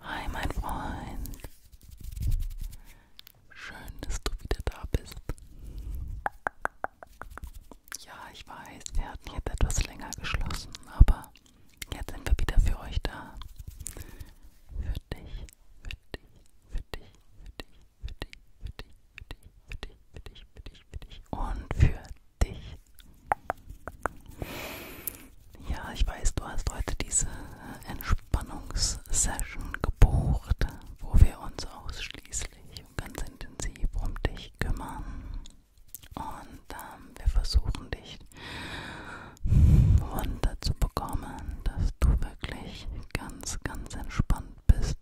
Hi, mein Freund. Schön, dass du wieder da bist. Ja, ich weiß, wir hatten jetzt etwas länger geschlossen, aber jetzt sind wir wieder für euch da. Für dich, für dich, für dich, für dich, für dich, für dich, für dich, für dich, für dich, für dich und für dich. Ja, ich weiß, du hast heute diese Entspannungssession gebucht, wo wir uns ausschließlich und ganz intensiv um dich kümmern. Und ähm, wir versuchen dich runter zu bekommen, dass du wirklich ganz, ganz entspannt bist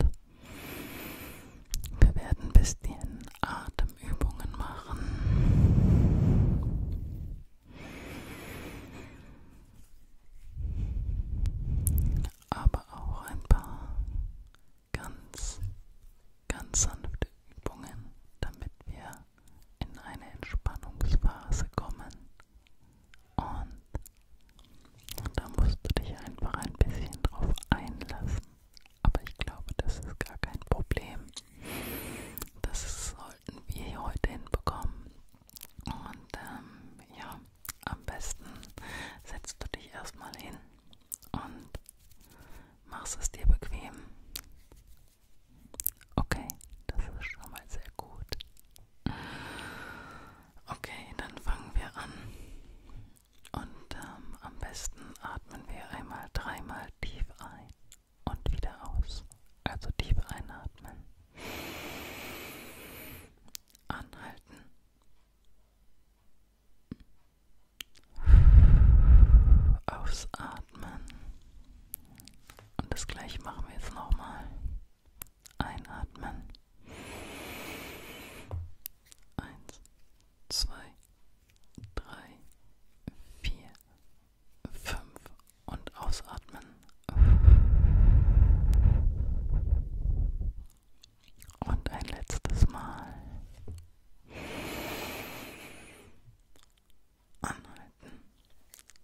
wir werden ein bisschen Atemübungen machen. Aber auch ein paar ganz, ganz sanfte Übungen, damit wir in eine Entspannungsphase kommen. Und da musst du dich einfach ein bisschen drauf einlassen. Aber ich glaube, das ist gar kein Problem. Das sollten wir heute hinbekommen. Und ähm, ja, am besten setzt du dich erstmal hin und machst es dir bequem. Okay, das ist schon mal sehr gut. Okay, dann fangen wir an. Und ähm, am besten atmen wir einmal dreimal tief ein und wieder aus. Also tief einatmen. Anhalten. Ausatmen. Und das gleiche machen wir jetzt nochmal. Einatmen. Eins, zwei, drei, vier, fünf und ausatmen. Und ein letztes Mal. Anhalten.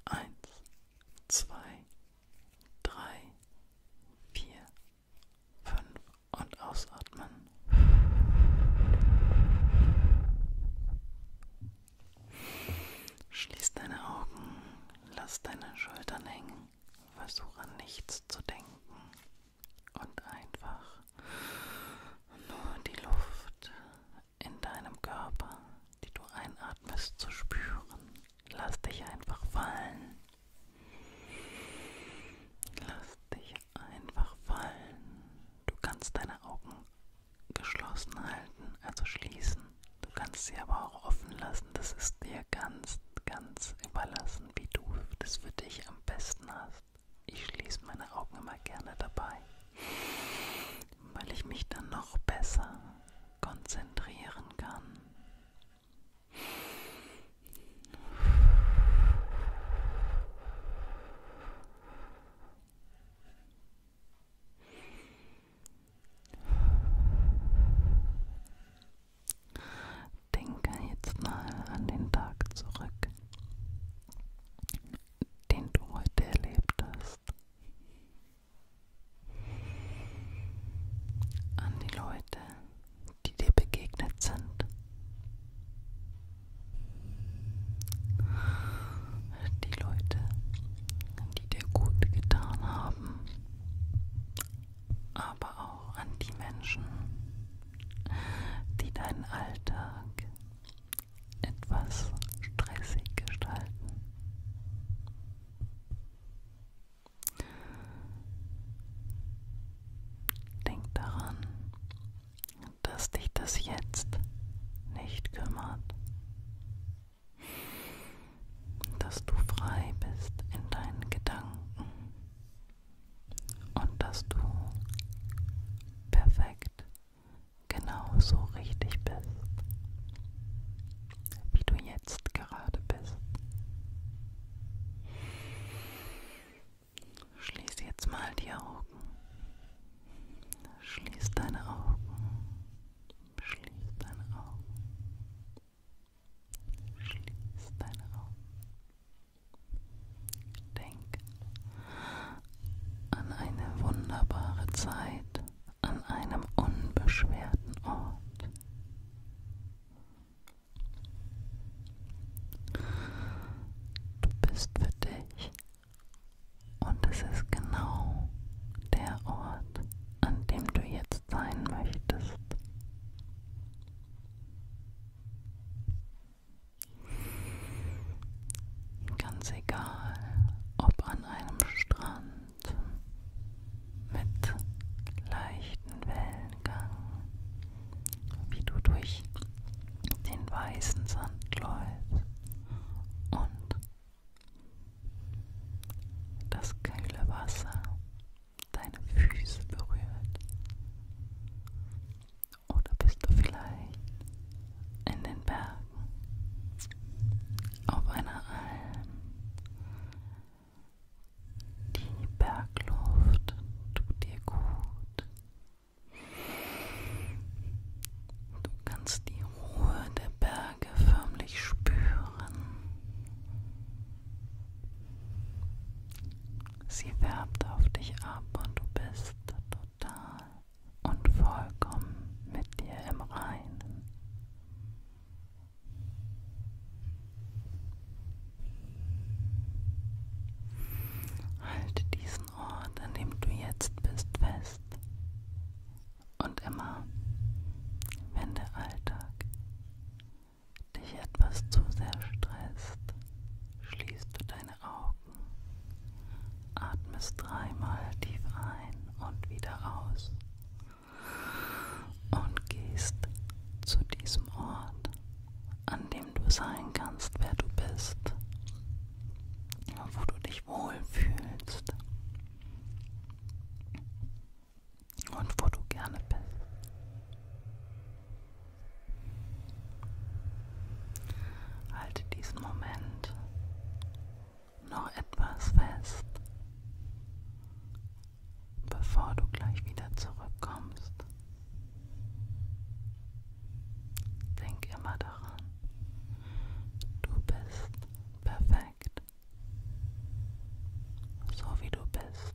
Eins, zwei, drei, vier, fünf und ausatmen. Schließ deine Augen, lass deine Schultern hängen, versuch an nichts zu denken und einfach nur die Luft in deinem Körper, die du einatmest, zu spüren. Lass dich einfach fallen. Lass dich einfach fallen. Du kannst deine Augen geschlossen halten, also schließen. Du kannst sie aber auch offen lassen. Das ist dir ganz, ganz überlassen, wie du das für dich am besten hast. Ich schließe meine Augen immer gerne dabei, weil ich mich dann noch besser konzentrieren kann. Denke jetzt mal an den Tag zurück, den du heute erlebt hast an die Leute, die dir begegnet sind. Die Leute, die dir gut getan haben, aber auch an die Menschen, die deinen Alltag etwas stressig gestalten. Denk daran, dass dich das jetzt nicht kümmert, dass du frei bist in deinen Gedanken und dass du perfekt genauso richtig bist, wie du jetzt jetzt gerade bist. Schließ jetzt mal die Augen. Schließ deine Augen. Schließ deine Augen. Schließ deine Augen. Denk an eine wunderbare Zeit an einem unbeschwerten Ort. Du bist für dich und es ist genau der Ort, an dem du jetzt sein möchtest. Ganz egal, ob an einem Strand, Strand mit leichten Wellengang, wie du durch den weißen Sand läufst und das kühle Wasser deine Füße berührt. Oder bist du vielleicht in den Bergen? auf einer Alm. Die Bergluft tut dir gut. Du kannst die Ruhe der Berge förmlich spüren. Sie wärmt auf dich ab und du bist total und vollkommen mit dir im Reinen. Halte diesen Ort, an dem du jetzt bist, fest. Und immer, wenn der Alltag dich etwas zu sehr stresst, schließt du deine Augen atmest dreimal tief ein und wieder aus und gehst zu diesem Ort, an dem du sein kannst, wer du bist, wo du dich wohlfühlst und wo du gerne bist. Halte diesen Moment noch etwas fest, bevor du gleich wieder zurückkommst. Denk immer daran, du bist perfekt, so wie du bist.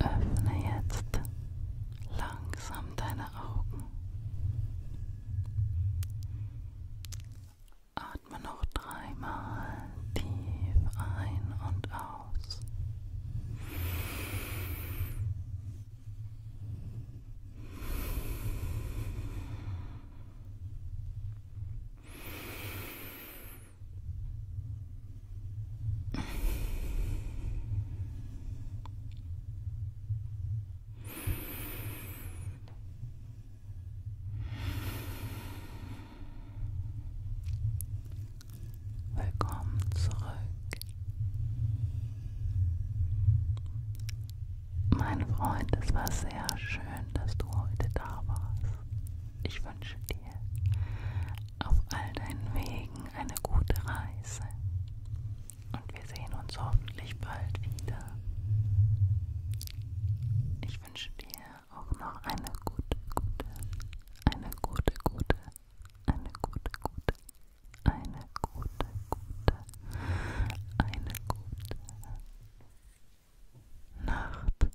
Öffne jetzt langsam deine Augen. Atme noch dreimal tief ein und aus. Willkommen zurück. Mein Freund, es war sehr schön, dass du heute da warst. Ich wünsche dir auf all deinen Wegen eine gute Reise und wir sehen uns hoffentlich bald wieder. Ich wünsche dir auch noch eine gute, gute, eine gute, gute, eine gute, gute, eine gute, gute, eine gute Nacht.